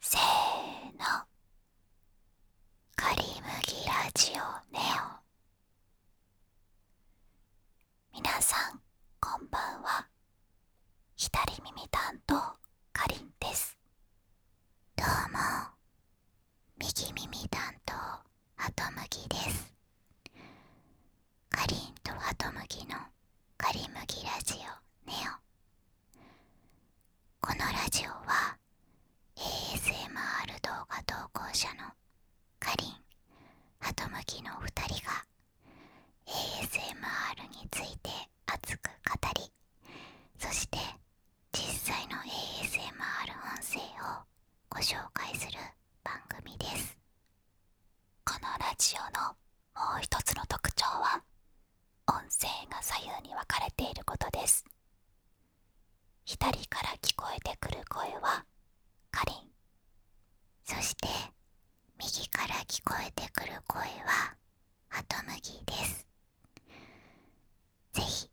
せーの「かりむラジオネオ」皆さんこんばんは左耳担当かりですどうも右耳担当ハトムギですかりんとハトムギのカリムギラジオネオこのラジオは ASMR 動画投稿者のかりんハトムギの2人が ASMR について熱く語りそして実際の ASMR 音声をご紹介する番組です。このラジオのもう一つの特徴は音声が左右に分かれていることです左から聞こえてくる声はかりんそして右から聞こえてくる声はハトムギです是非、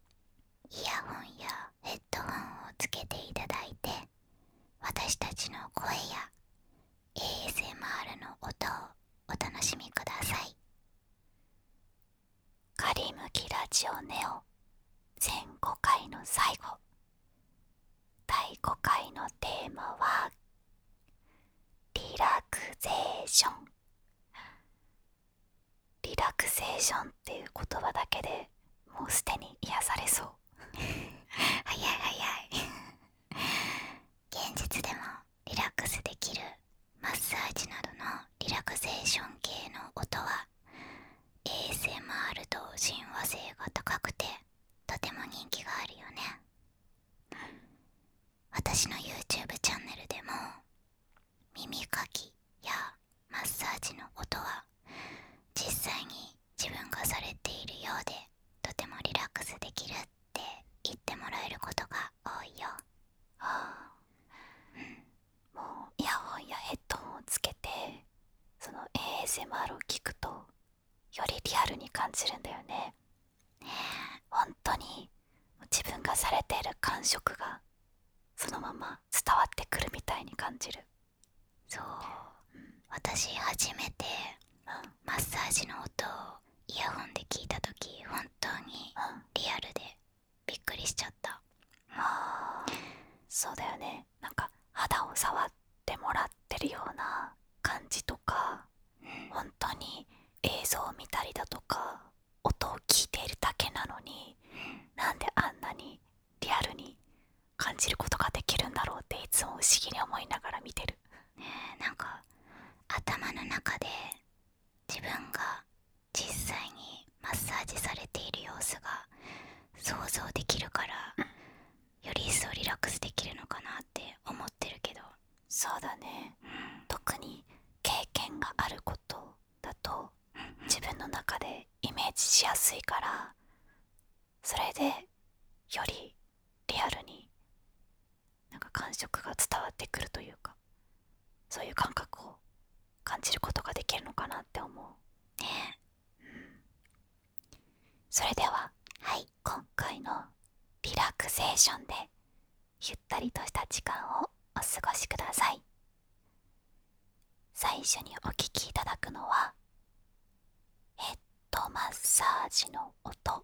イヤホンやヘッドホンをつけていただいて私たちの声や ASMR の音をお楽しみくださいカリムキラジオネオ全5回の最後第5回のテーマはリラクゼーションリラクゼーションっていう言葉だけでもうすでに癒されそう 早い早い現実でもリラックスできるマッサージなどのリラクゼーション系の音は ASMR と親和性が高くてとても人気があるよね私の YouTube チャンネルでも耳かきやマッサージの音は実際に自分がされているようでとてもリラックスできるって言ってもらえることが多いよもうイヤホンやヘッドホンをつけてその ASMR を聞くとよりリアルに感じるんだよね本当に自分がされている感触がそのまま伝わってくるみたいに感じるそう、私初めてマッサージの音をイヤホンで聞いた時本当にリアルでびっくりしちゃった、うあそうだよねなんか肌を触ってもらってるような感じとか、本当に映像を見たりだとか音を聞いているだけなのに、うなんであんなにリアルに感じることができるんだろうっていつも不思議に思いながら見てるねえなんか頭の中で自分が実際にマッサージされている様子が想像できるからより一層リラックスできるのかなって思ってるけどそうだね、特に経験があることだと自分の中でイメージしやすいからそれでよりリアルになんか感触が伝わってくるというかそういう感覚を感じることができるのかなって思うねえ、うん、それでははい今回のリラクゼーションでゆったりとした時間をお過ごしください最初にお聴きいただくのはヘッドマッサージの音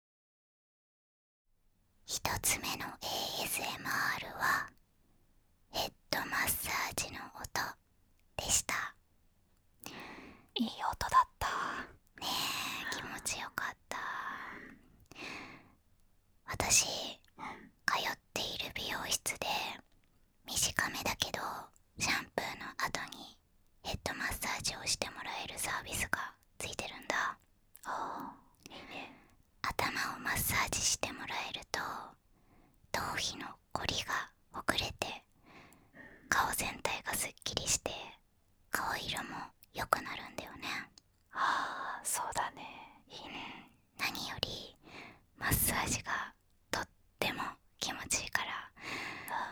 1つ目の ASMR はヘッドマッサージの音でしたいい音だったねえ気持ちよかった私通っている美容室で短めだけどシャンプーの後にヘッドマッサージをしてもらえるサービスがついてるんだああいいね頭をマッサージしてもらえると頭皮の凝りが遅れて顔全体がすっきりして顔色も良くなるんだよねああそうだねいいね何よりマッサージがとっても気持ちいいから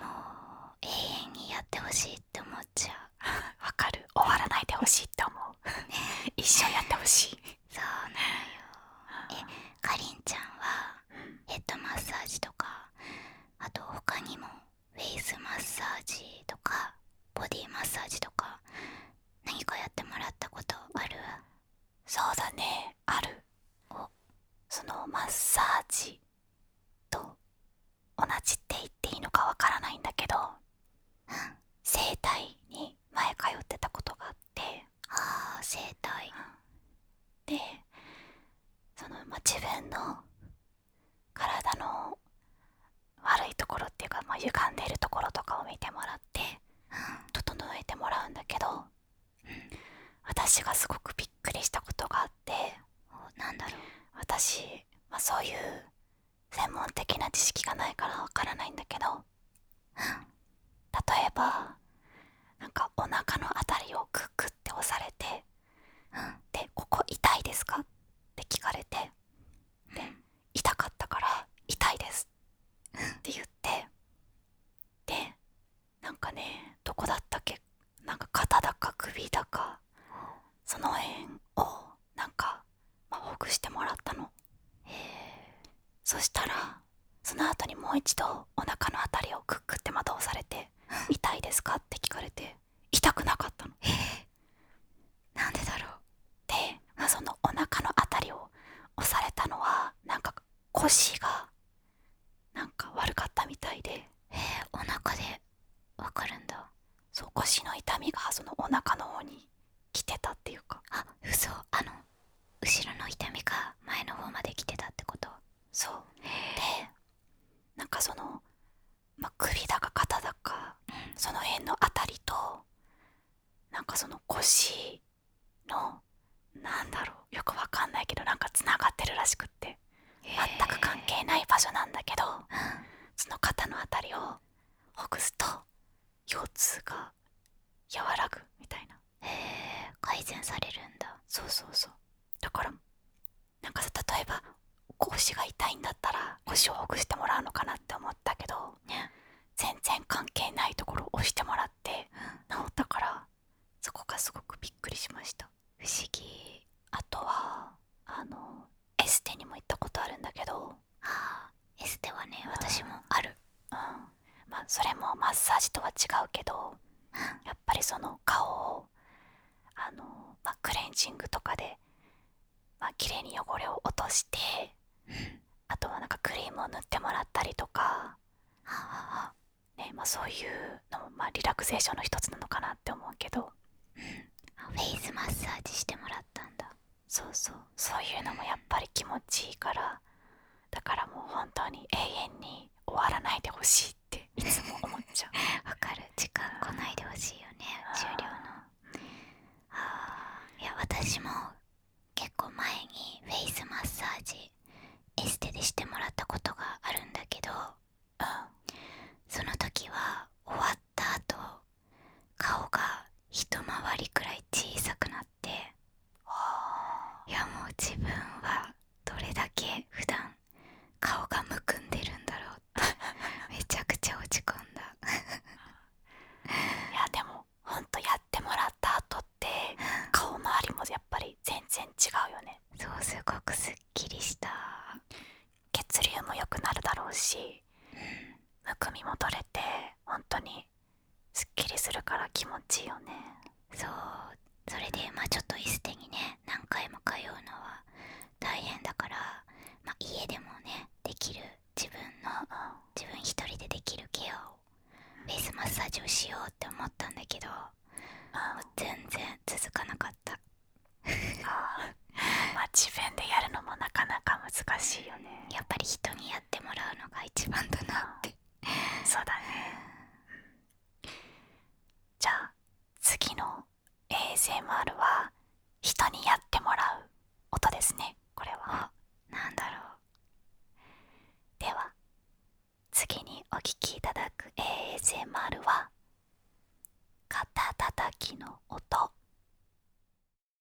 もう永遠にやってほしいって思っちゃうわかる終わらないでほしいと思う一緒にやってほしいそうなのよえかりんちゃんはヘッドマッサージとかあと他にもフェイスマッサージとかボディマッサージとか何かやってもらったことあるそうだねあるそのマッサージと同じって言っていいのかわからないんだけど整体に前通ってたことがあってあ整体、でその、ま自分の体の悪いところっていうか、まあ、歪んでるところとかを見てもらって整えてもらうんだけど、私がすごくびっくりしたことがあってなんだろう私、まそういう専門的な知識がないからわからないんだけど例えばなんかお腹の辺りをクックって押されてで「ここ痛いですか?」って聞かれて痛かったから「痛いです」って言ってでなんかねどこだったっけなんか肩だか首だかその辺をなんか、まほぐしてもらったのそしたらその後にもう一度お腹の辺りをクックってまた押されて「痛いですか?」って聞かれて痛くなかったのえー、なんでだろうで、まそのお腹の辺りを押されたのはなんか腰がなんか悪かったみたいでえー、お腹でわかるんだそう腰の痛みがそのお腹の方に来てたっていうかあ嘘あの後ろの痛みが前の方まで来てたってことそうでなんかその、ま首だか肩だか、その辺の辺りとなんかその腰のなんだろうよくわかんないけどなんかつながってるらしくって全く関係ない場所なんだけど、その肩の辺りをほぐすと腰痛が和らぐみたいなへえ改善されるんだそうそうそうだからなんかさ例えば腰が痛いんだったら腰をほぐしてもらうのかなって思ったけど、全然関係ないところを押してもらって、治ったからそこがすごくびっくりしました不思議あとはあのエステにも行ったことあるんだけどエステはね私もある、うん、まそれもマッサージとは違うけど、やっぱりその顔をあの、まクレンジングとかで、まあ綺麗に汚れを落として、あとはなんかクリームを塗ってもらったりとか、ねまそういうのも、まリラクゼーションの一つなのかなって思うけど、フェイズマッサージしてもらったんだそうそうそういうのもやっぱり気持ちいいからだからもう本当に永遠に終わらないでほしいっていつも思っちゃう わかる時間来ないでほしいよね終了のああ、いや私も結構前にフェイスマッサージエステでしてもらったことがあるんだけど、うん、その時は終わった後顔が一回りくらい小さくなっていやもう自分はどれだけ普段顔がむくんでるんだろうってめちゃくちゃ落ち込んだいやでもほんとやってもらった後って顔周りもやっぱり全然違うよねそうすごくすっきりした血流も良くなるだろうし、うん、むくみも取れてほんとにすっきりするから気持ちいいよねそうそれでまあちょっとエス手にね何回も通うのは大変だから、家でもねできる自分の自分一人でできるケアをフェイスマッサージをしようって思ったんだけど全然続かなかったま自分でやるのもなかなか難しいよねやっぱり人にやってもらうのが一番だなってそうだねじゃあ次の ASMR は人にやってもらう音ですねこれは何だろうでは次にお聴きいただく ASMR は肩たたきの音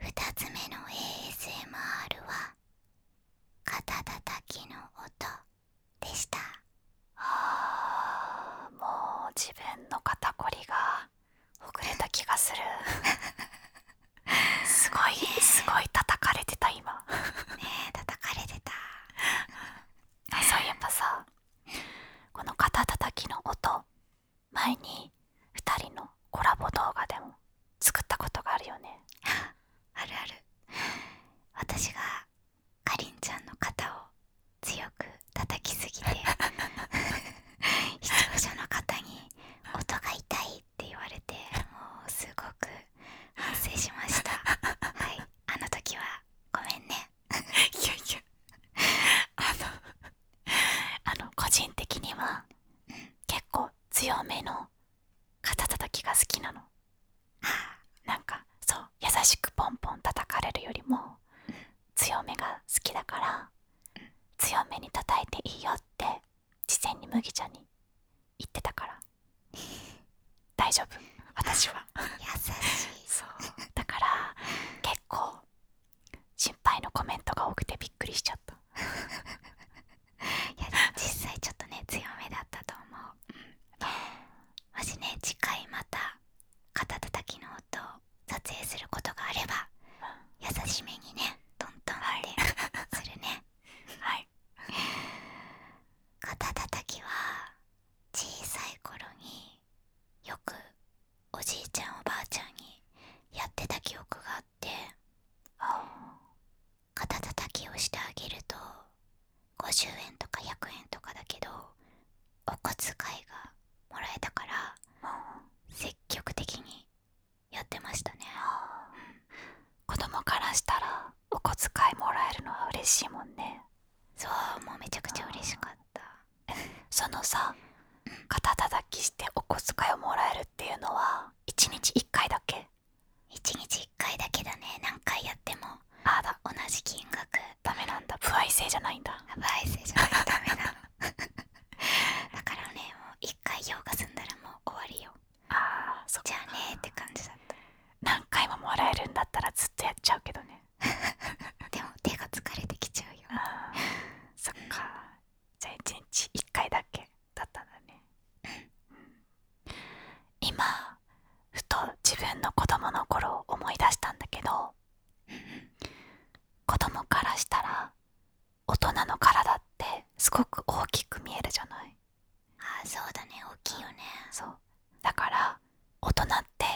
2つ目の ASMR は肩たたきの音でしたあもう自分の肩こりがほぐれた気がするすごい、すごい叩かれてた今ねえ叩かれてたあそういえばさこの肩叩きの音前に2人のコラボ動画でも作ったことがあるよね あるある私がかりんちゃんの肩を強く叩きすぎて 視聴者の方に音が痛いっって言われてもうすごく反省しましたはいあの時はごめんねあの個人的には、結構強めの肩たきが好きなのなんかそう優しくポンポン叩かれるよりも、強めが好きだから、強めに叩いていいよって事前に麦んに言ってたから 大丈夫私は優しいだから結構心配のコメントが多くてびっくりしちゃった実際ちょっとね強めだったと思う、うん、もしね次回また肩たたきの音を撮影することがあれば優しめにねどんどんってするね、はい肩たたきは小さい頃によくおじいちゃんおばあちゃんにやってた記憶があって肩たたきをしてあげると50円とか100円とかだけどお小遣いがもらえたから積極的にやってましたね、子供からしたらお小遣いもらえるのは嬉しいもんねそうもうめちゃくちゃ嬉しかった そのさ肩たたきしてお小遣いをもらえるっていうのは一日一回だけ一日一回だけだね何回やってもあだ同じ金額ダメなんだ不愛性じゃないんだ不愛性じゃないダメな だからねもう一回用が済んだらもう終わりよああそっかじゃあねって感じだった何回ももらえるんだったらずっとやっちゃうけどね でも手が疲れてきちゃうよあそっかじゃあ1日1回だけだったんだね今ふと自分の子供の頃を思い出したんだけど子供からしたら大人の体ってすごく大きく見えるじゃないあそうだね大きいよねそうだから大人って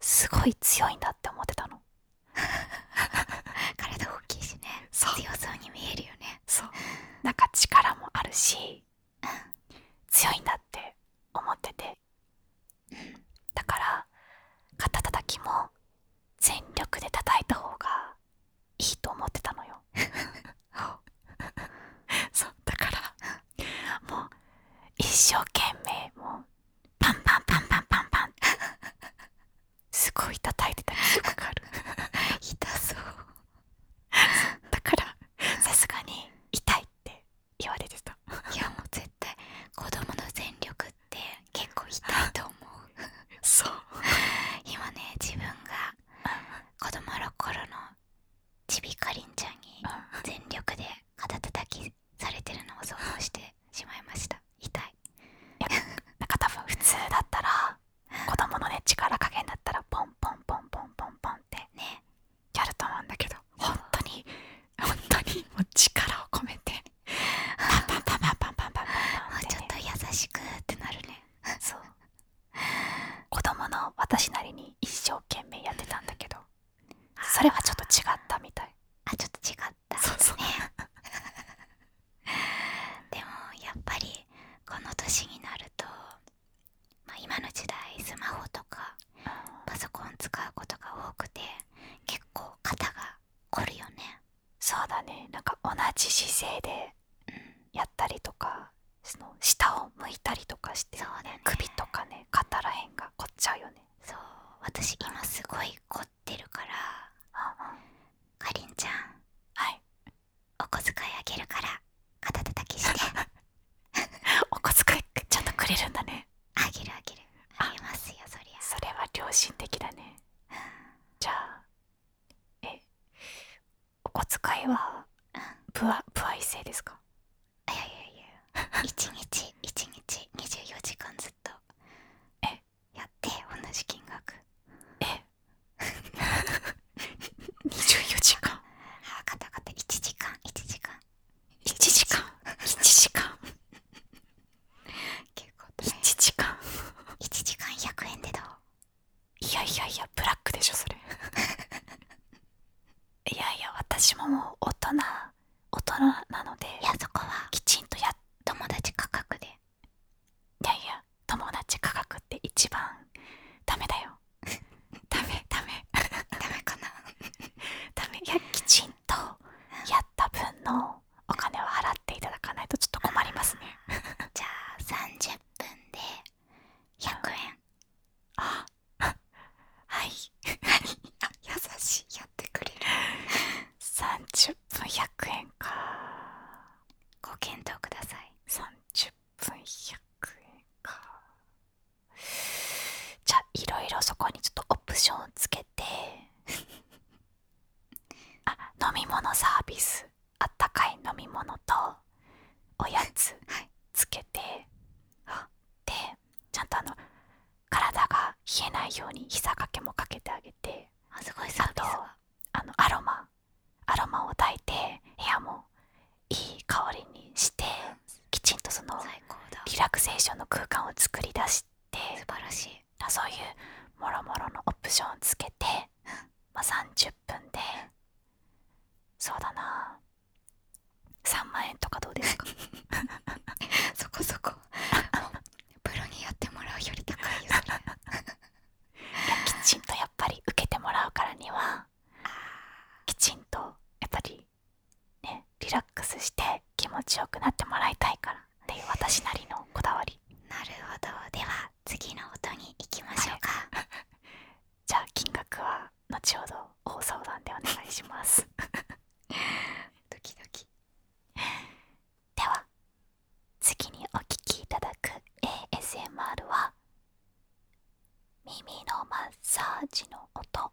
すごい強いんだって思ってたの 体大きいしね強そうに見えるよねそうなんか力もあるし、うん、強いんだって思ってて、だから肩たたきも全力で叩いた方がいいと思ってたのよ だからもう一生懸命もうパンパンパンパンパンパン すごい叩いてた記憶がある 痛そうだからさすがに痛いって言われてたいやもう絶対子供の全力って結構痛いと思そう今ね自分が子供の頃のちびかりんちゃんに全力で肩たたきされてるのを想像してしまいました痛いなんかたぶん普通だったら子供のね力加減だったらポンポンポンポンポンポンってねやると思うんだけど本当に本当にもう力を込めてパンパとパンパンパンパンパンパンパンパンパンパ 子供の私なりに一生懸命やってたんだけどそれはちょっと違ったみたいあちょっと違ったそうですねでもやっぱりこの年になると、まあ、今の時代スマホとかパソコン使うことが多くて結構肩が凝るよねそうだねなんか同じ姿勢でやったりとかそ下を向いたりとかして、ねね、首とかね肩らへんが凝っちゃうよねそう私今すごい凝ってるからかりんちゃんはいお小遣いあげるから肩たたきして お小遣いちゃんとくれるんだねあげるあげるあげますよそりゃそれは良心的だね、じゃあえお小遣いは、うん、プアプア一ですかいやいや一日 一日24時間ずっとやって同じ金額え24 時間あ分かった分かった1時間1時間1時間1時間結時間1 時間100円でどういやいやいやブラックでしょそれ いやいや私ももう大人大人なのでいやそこはきちんと友達価格でいやいや友達価格って一番ダメだよ ダメダメダメかな ダメいやきちんとやった分のお金を払っていただかないとちょっと困りますねじゃあ30分で100円あはい 優しいやってくれる30分100円かご検討ください30分100円かじゃあいろいろそこにちょっとオプションをつけて あ飲み物サービスあったかい飲み物とおやつつけて、ちゃんと体が冷えないように膝掛けもかけてあげてあすごいサーとアロマアロマを抱いて部屋もいい香りにしてきちんとそのリラクゼーションの空間を作り出して素晴らしいそういうもろもろのオプションをつけて、まあ、30分でそうだな3万円とかどうですか そこそこプロにやってもらうより高いよそれきちんとやっぱり受けてもらうからにはきちんとやっぱりねリラックスして気持ちよくなってもらいたいからっていう私なりのこだわりなるほどでは次の音に行きましょうかじゃあ金額は後ほど大相談でお願いします ドキドキでは次にお聴きいただく ASMR は耳のマッサージの音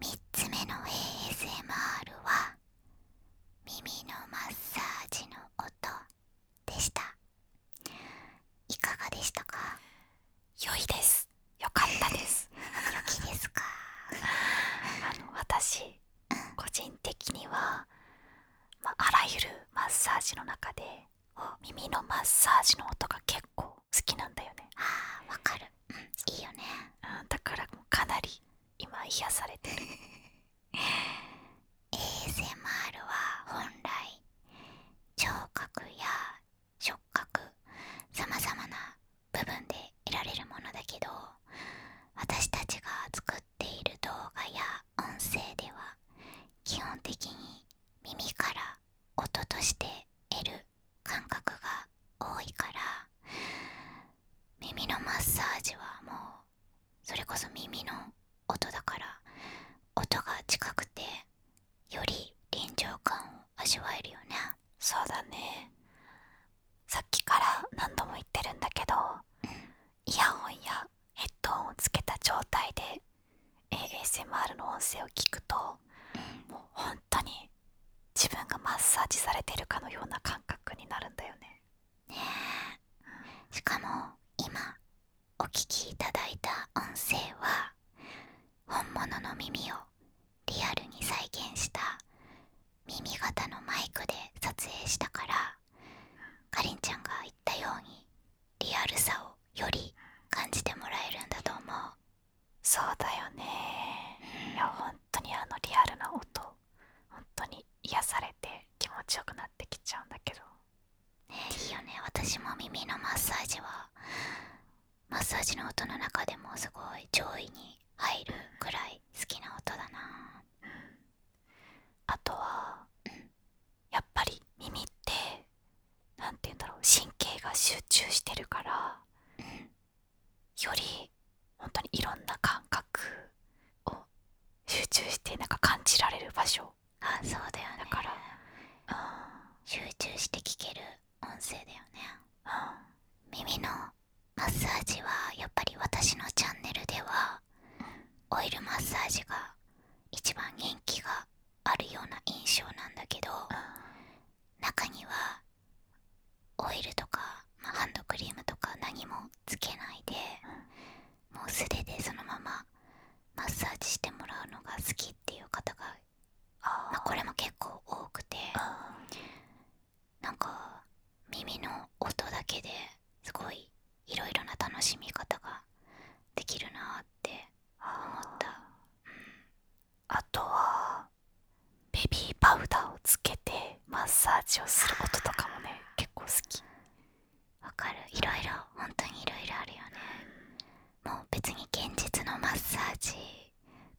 3つ目の ASMR は耳のマッサージの音でしたいかがでしたか良いです良かったです良きですか あの私、個人的には、あらゆるマッサージの中で耳のマッサージの音が結構好きなんだよねああわかる、いいよね、だからかなり今癒されてる ASMR は本来聴覚や触覚さまざまな部分で得られるものだけど私たちが作っている動画や音声では基本的に耳から音として得る感覚が多いから耳のマッサージはもうそれこそ耳の音だから音が近くてより臨場感を味わえるよねそうだねさっきから何度も言ってるんだけど、イヤホンやヘッドホンをつけた状態で ASMR の音声を聞くと、もうほんとに自分がマッサージされてるかのような感覚になるんだよね。しかも今お聞きいただいた音声は本物の耳をリアルに再現した耳型のマイクで撮影したからかりんちゃんが言ったようにリアルさをより感じてもらえるんだと思うそうだよね、いや本当にあのリアルな音ほんとに癒されて気持ちよくなってきちゃうんだけどねいいよね私も耳のマッサージはマッサージの音の中でもすごい上位に入るくらい好きな音だな、あとは、やっぱり耳って何て言うんだろう神経が集中してるから、よりほんとにいろんな感覚を集中してなんか感じられる場所あそうだよねだから、集中して聞ける音声だよね、耳のマッサージはやっぱり私のチャンネルでは、オイルマッサージが一番元気があるような印象なんだけど、中にはオイルとか、ハンドクリームとか何もつけないで、もう素手でそのままマッサージしてもらうのが好きっていう方がこれも結構多くてなんか耳の音だけですごいいろいろな楽しみ方ができるなって思った。あとはベビーパウダーをつけてマッサージをすることとかもね結構好きわかるいろいろ本当にいろいろあるよね、もう別に現実のマッサージ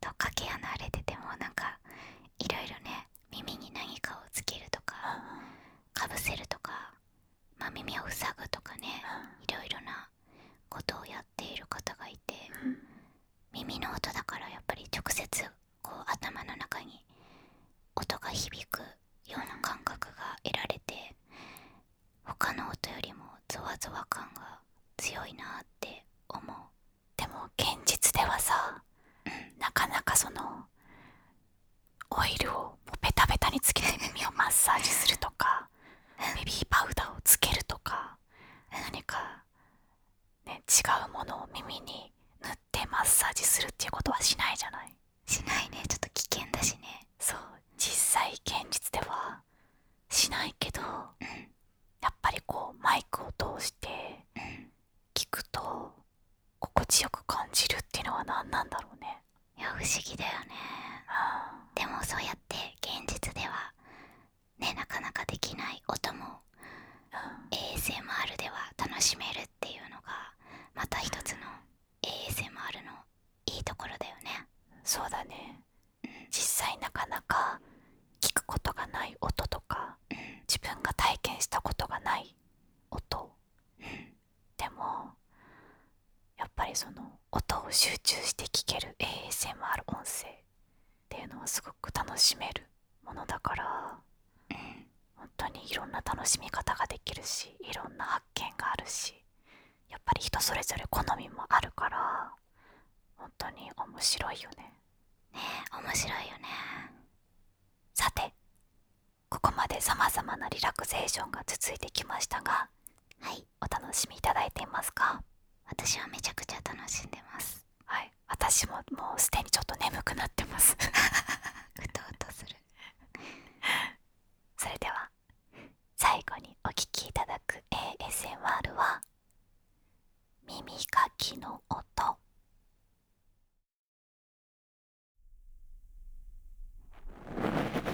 とかけ離れててもなんかいろいろね耳に何かをつけるとか、うかぶせるとか、ま耳を塞ぐとかね、うん、いろいろなことをやっている方がいて、耳の音だからやっぱり直接こう頭の中に音が響くような感覚が得られて他の音よりもゾワゾワ感が強いなって思うでも現実ではさ、なかなかそのオイルをもうベタベタにつけて耳をマッサージするとかベビーパウダーをつけるとか何か、ね、違うものを耳に塗っっマッサージするっていうことはしないじゃないしないねちょっと危険だしねそう実際現実ではしないけど、うん、やっぱりこうマイクを通して聞くと心地よく感じるっていうのは何なんだろうねいや不思議だよね、でもそうやって現実ではねなかなかできない音も ASMR では楽しめるっていうのがまた一つの ASMR のいいところだよねそうだね、実際なかなか聞くことがない音とか、自分が体験したことがない音、でもやっぱりその音を集中して聞ける ASMR 音声っていうのはすごく楽しめるものだから本当にいろんな楽しみ方ができるしいろんな発見があるしやっぱり人それぞれ好みもあるから本当に面白いよね面白いよねさてここまでさまざまなリラクゼーションが続いてきましたがはいお楽しみいいていますか私はめちゃくちゃ楽しんでますはい私ももうすでにちょっと眠くなってますう とうとするそれでは最後にお聴きいただく ASMR は耳かきの音耳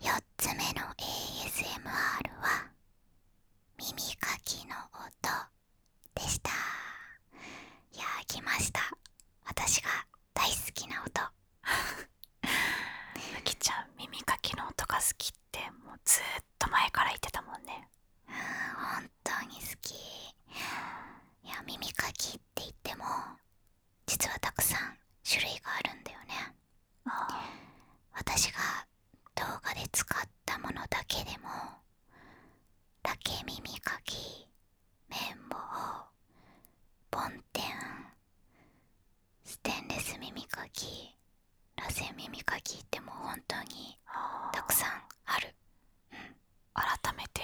4つ目の ASMR は耳かきの音でしたいや来ました私が大好きな音ゆ きちゃん耳かきの音が好きってもうずっと前から言ってたもんねうん本当に好きいや耳かきって言っても実はたくさん種類があるんだよね私が動画で使ったものだけでも竹耳かき綿棒梵天ステンレス耳かき螺旋耳かきってもう本当にたくさんある、うん、改めて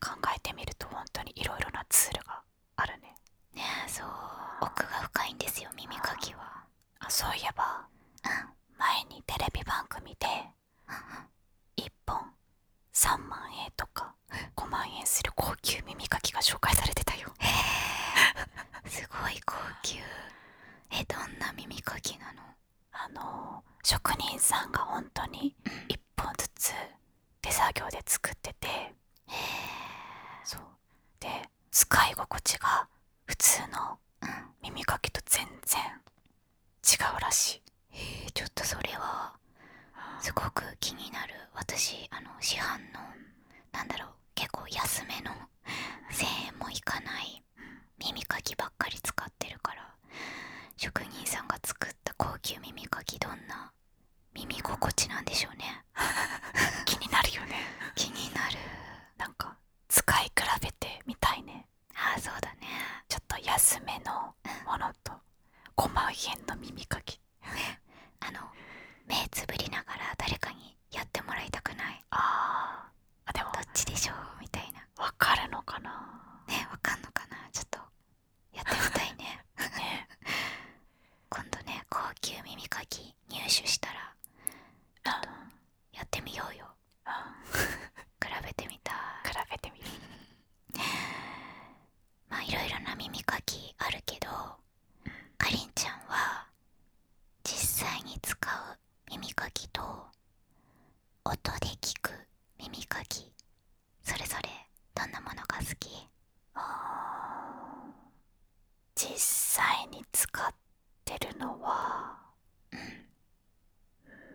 考えてみるとほんとにいろいろなツールがあるねねえそう奥が深いんですよ耳かきはそういえば、前にテレビ番組で、う1本3万円とか5万円する高級耳かきが紹介されてたよへえすごい高級えどんな耳かきなのあの職人さんが本当に1本ずつ、手作業で作っててそうで使い心地が普通の、耳かきと全然違うらしいえちょっとそれはすごく気になる私あの市販のなんだろう結構安めの1000円もいかない耳かきばっかり使ってるから職人さんが作った高級耳かきどんな耳心地なんでしょうね 気になるよね気になるなんか使い比べてみたいねああそうだねちょっと安めのものと5万円の耳かき あの目つぶりながら誰かにやってもらいたくないああでもどっちでしょうみたいなわかるのかなねわかんのかなちょっとやってみたいね今度ね高級耳かき入手したらやってみようよ比べてみたまあいろいろな耳かきあるけど、うん、かりんちゃんは実際に使う耳かきと音で聞く耳かきそれぞれどんなものが好き実際に使ってるのは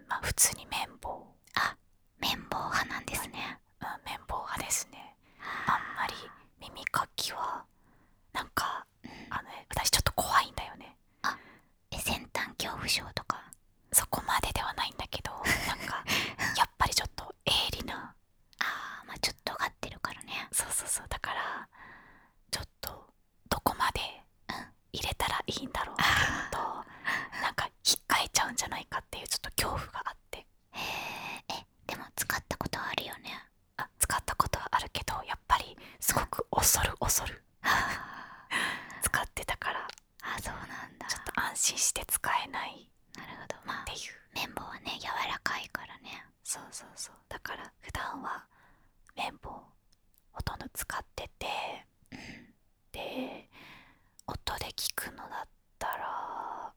ま普通に綿棒あ綿棒派なんですね、うん、綿棒派ですねあんまり耳かきはなんか、あの、ね、私ちょっと怖いんだよねあえ先端恐怖症とかそこまでではないんだけどなんか やっぱりちょっとそう利なあまちょっと尖ってるからねそうそうだからちょっとどこまで入れたらいいんだろうっていうのと、うなんか引っかえちゃうんじゃないかっていうちょっと恐怖があってえでも使ったことはあるよねあ使ったことはあるけどやっぱりすごく恐る恐る 使ってたからあそうなんだちょっと安心して使えないなるほどまあっていう綿棒はね柔らかいからねそうそうそうだから普段は綿棒ほとんど使ってて、で音で聞くのだったら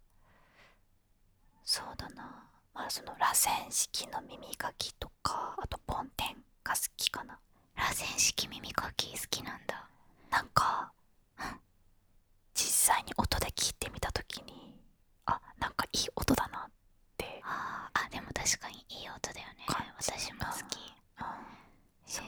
そうだなまあその螺旋式の耳かきとかあと梵天が好きかな螺旋式耳かき好きなんだなんか、うん、実際に音で聞いてみた時にあなんかいい音だなってああでも確かにいい音だよね私も好き、そう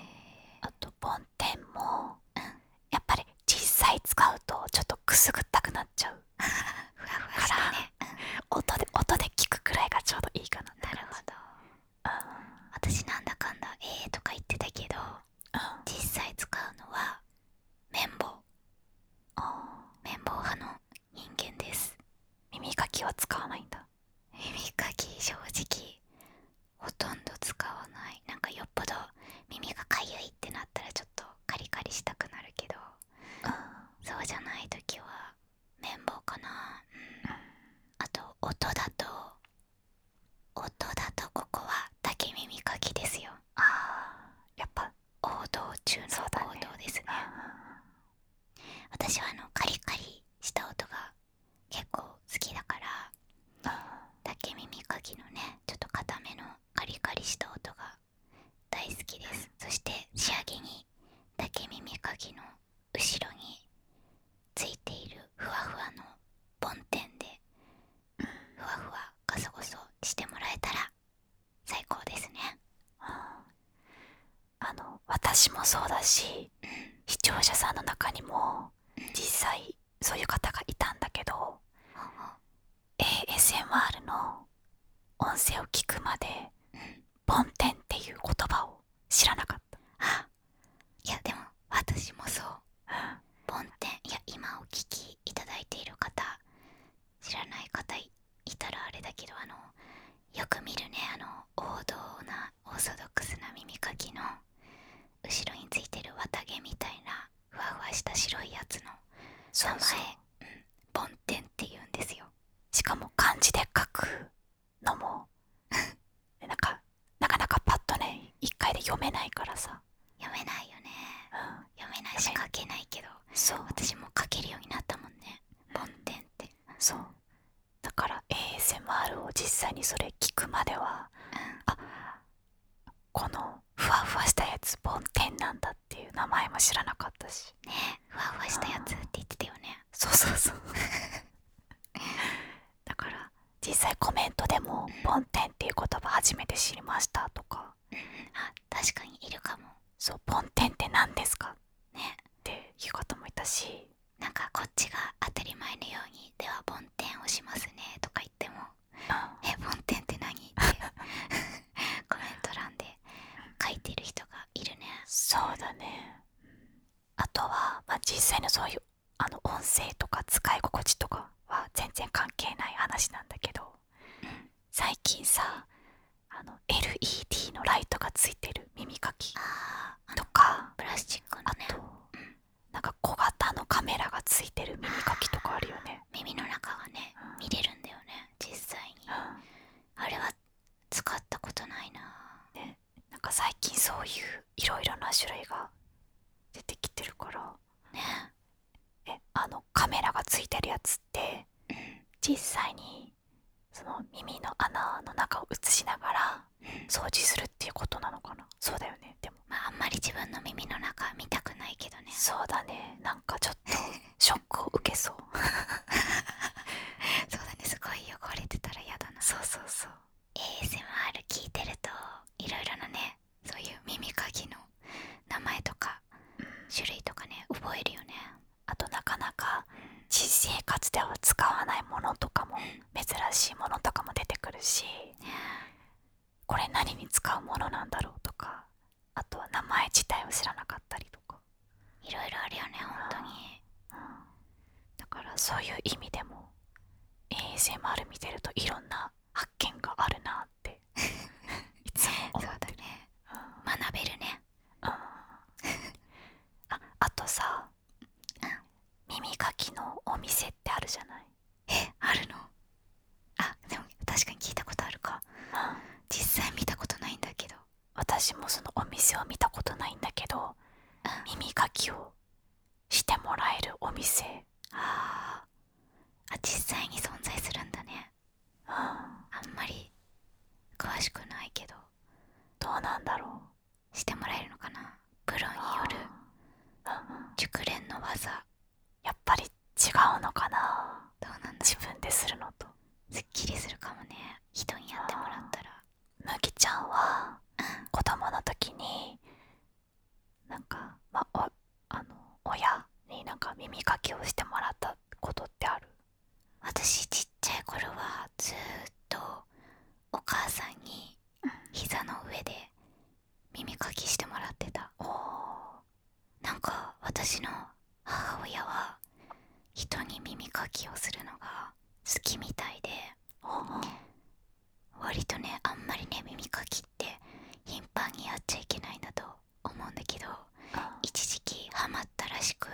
あと梵天も、うん、やっぱり実際使うとちょっとくすぐったくなっちゃうふわふわしてね、うん、音で音で聞くくらいがちょうどいいかなってなるほど、私なんだかんだえーとか言ってたけど実際使うのは綿棒綿棒派の人間です耳かきは使わないんだ耳かき正直ほとんど使わないなんかよっぽど耳がかゆいってなったらちょっとカリカリしたくなるけど、そうじゃない時は綿棒かな、あと音だと音だとここは竹耳かきですよああやっぱ王道中の王道ですね、私はあのカリカリした音が結構好きだから竹耳かきのねちょっと硬めのカリカリした音が大好きです、そして仕上げに竹耳かきの後ろについているふわふわの梵天でふわふわガソゴソしてもらえたら最高ですね、あの私もそうだし、視聴者さんの中にも、実際そういう方がいたんだけど、ASMR の音声を聞くまで「梵、う、天、ん」っていう言葉を知らなかった。いやでも私もそう梵天いや今お聞きいただいている方知らない方いたらあれだけどあのよく見るねあの王道なオーソドックスな耳かきの後ろについてる綿毛みたいなふわふわした白いやつの名前梵天、ん、って言うんですよしかも漢字で書くのも なんかなかなかパッとね1回で読めないからさ読めないよね、読めないしか書けないけどそう私も書けるようになったもんね梵天ってそうだから ASMR を実際にそれ聞くまでは、うん、このふわふわしたやつ梵天なんだっていう名前も知らなかったしねふわふわしたやつって言ってたよね、そうそうそう だから実際コメントでも「梵天」っていう言葉初めて知りましたとか、確かにいるかもそう「梵天って何ですか?」ねっていう方もいたしなんかこっちが当たり前のように「では梵天をしますね」とか言っても「え梵天って何?」って コメント欄で書いてる人がいるねそうだねあとは、実際のそういうあの音声とか使い心地とかは全然関係ない話なんだけど、うん、最近さあの LED のライトがついてる耳かきとかプラスチックの、ね、あと、なんか小型のカメラがついてる耳かきとかあるよね耳の中がね、見れるんだよね実際に、あれは使ったことないな、ね、なんか最近そういういろいろな種類が出てきてるからなえあのカメラがついてるやつって、実際にその耳の穴の中を映しながら掃除するっていうことなのかなそうだよねでもあんまり自分の耳の中見たくないけどねそうだねなんかちょっと ショックを受けそう そうだねすごい汚れてたら嫌だなそうそうそう ASMR 聞いてるといろいろなねそういう耳かきの名前とか種類とかね覚えるよねあとなかなか私生活では使わないものとかも珍しいものとかも出てくるしこれ何に使うものなんだろうとかあとは名前自体を知らなかったりとかいろいろあるよね本当に、だからそういう意味でも a s m る。見てるといろんな発見があるなって いつもね学べるね、あとさ、耳かきのお店ってあるじゃないあるのあでも確かに聞いたことあるか、実際見たことないんだけど私もそのお店を見たことないんだけど、耳かきをしてもらえるお店ああ実際に存在するんだね、あんまり詳しくないけどどうなんだろうしてもらえるのかなプロによる熟練の技やっぱり違うのかなどうなんだ自分でするのとすっきりするかもね人にやってもらったら麦ちゃんは子供の時になんか、まおあの親になんか耳かきをしてもらったことってある私ちっちゃい頃はずっとお母さんに膝の上で耳かきしてもらってた、うん、なんか私の母親は人に耳かきをするのが好きみたいで割とねあんまりね耳かきって頻繁にやっちゃいけないんだと思うんだけど一時期ハマったらしく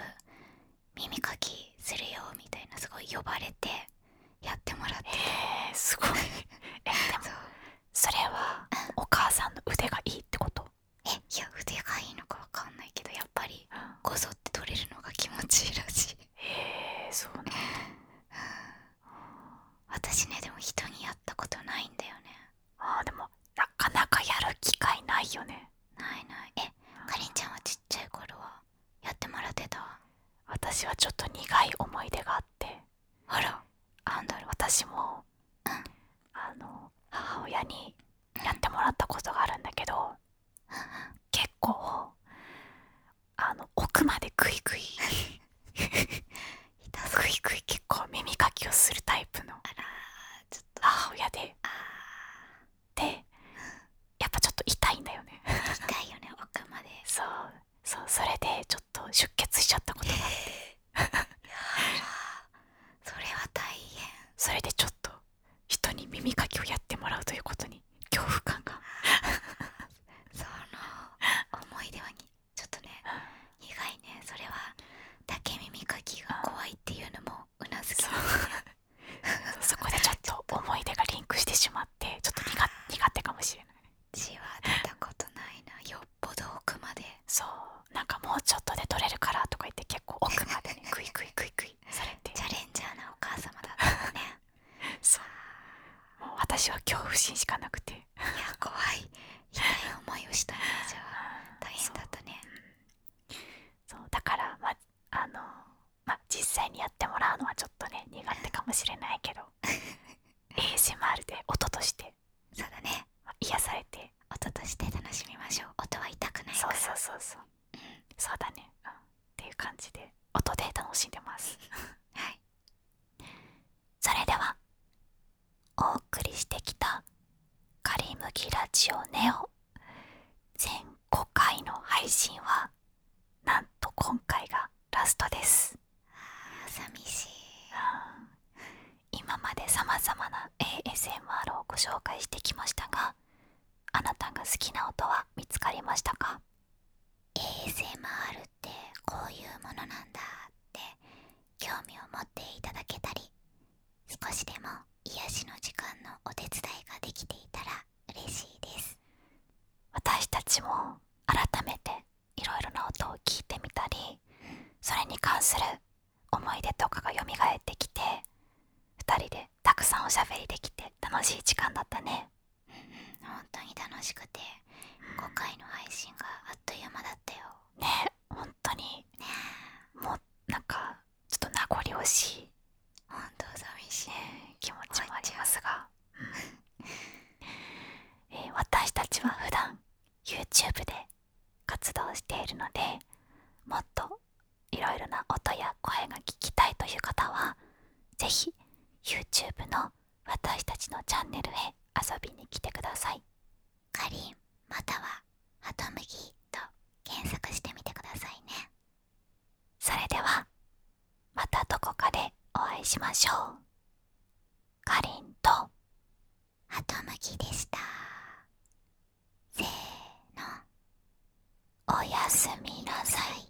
耳かきするよみたいなすごい呼ばれてやってもらってえすごい えでもそれはお母さんの腕がいいってことえいや腕がいいのかわかんないけどやっぱりこぞって取れるのが気持ちいいらしいへえそうね私ねでも人にやったことないんだよねあーでもなかなかやる機会ないよねないないえかりんちゃんはちっちゃい頃はやってもらってた私はちょっと苦い思い出があってあらあんだろ私も、あの母親にやってもらったことがあるんだけど、結構奥までグイグイ ひたすら低い結構耳かきをするタイプのあらちょっと母親ででやっぱちょっと痛いんだよね痛いよね奥までそうそうそれでちょっと出血しちゃったことがあって それは大変それでちょっと人に耳かきをやってもらうということに恐怖感が その思い出はにちょっとね苦いねそれは竹耳かきが怖いっていうのもうなずき、ね、そこでちょっと 思い出がリンクしてしまってちょっと 苦手かもしれない血は出たことないなよっぽど奥までそうなんかもうちょっとで取れるからとか言って結構奥までね クイクイクイクイされてチャレンジャーなお母様だったのねそう私は恐怖心しかなくていや怖い痛い思いをしたねじゃあ大変だったねそう、だからあの実際にやってもらうのはちょっとね苦手かもしれないけど ASMR で音としてそうだね、まあ、されて音として楽しみましょう音は痛くないからそうそうそうそう、そうだね、っていう感じで音で楽しんでます はいそれではお送りしてきた「カリムギラジオネオ」全5回の配信はなんと今回がラストです寂しい、今までさまざまな ASMR をご紹介してきましたがあなたが好きな音は見つかりましたか ASMR ってこういうものなんだって興味を持っていただけたり少しでも癒しの時間のお手伝いができていたら嬉しいです私たちも改めていろいろな音を聞いてみたり、それに関する思い出とかがよみがえってきて2人でたくさんおしゃべりできて楽しい時間だったね本当に楽しくて5回の配信があっという間だったよねほんとにもうなんかちょっと名残惜しいほ本当寂しい、気持ちもありますが、私たちは普段 YouTube で活動しているのでもっといろいろな音や声が聞きたいという方は是非、YouTube の私たちのチャンネルへ遊びに来てくださいかりんまたは「ハトムギ」と検索してみてくださいねそれではまたどこかでお会いしましょうかりんとハトムギでしたせーのおやすみなさい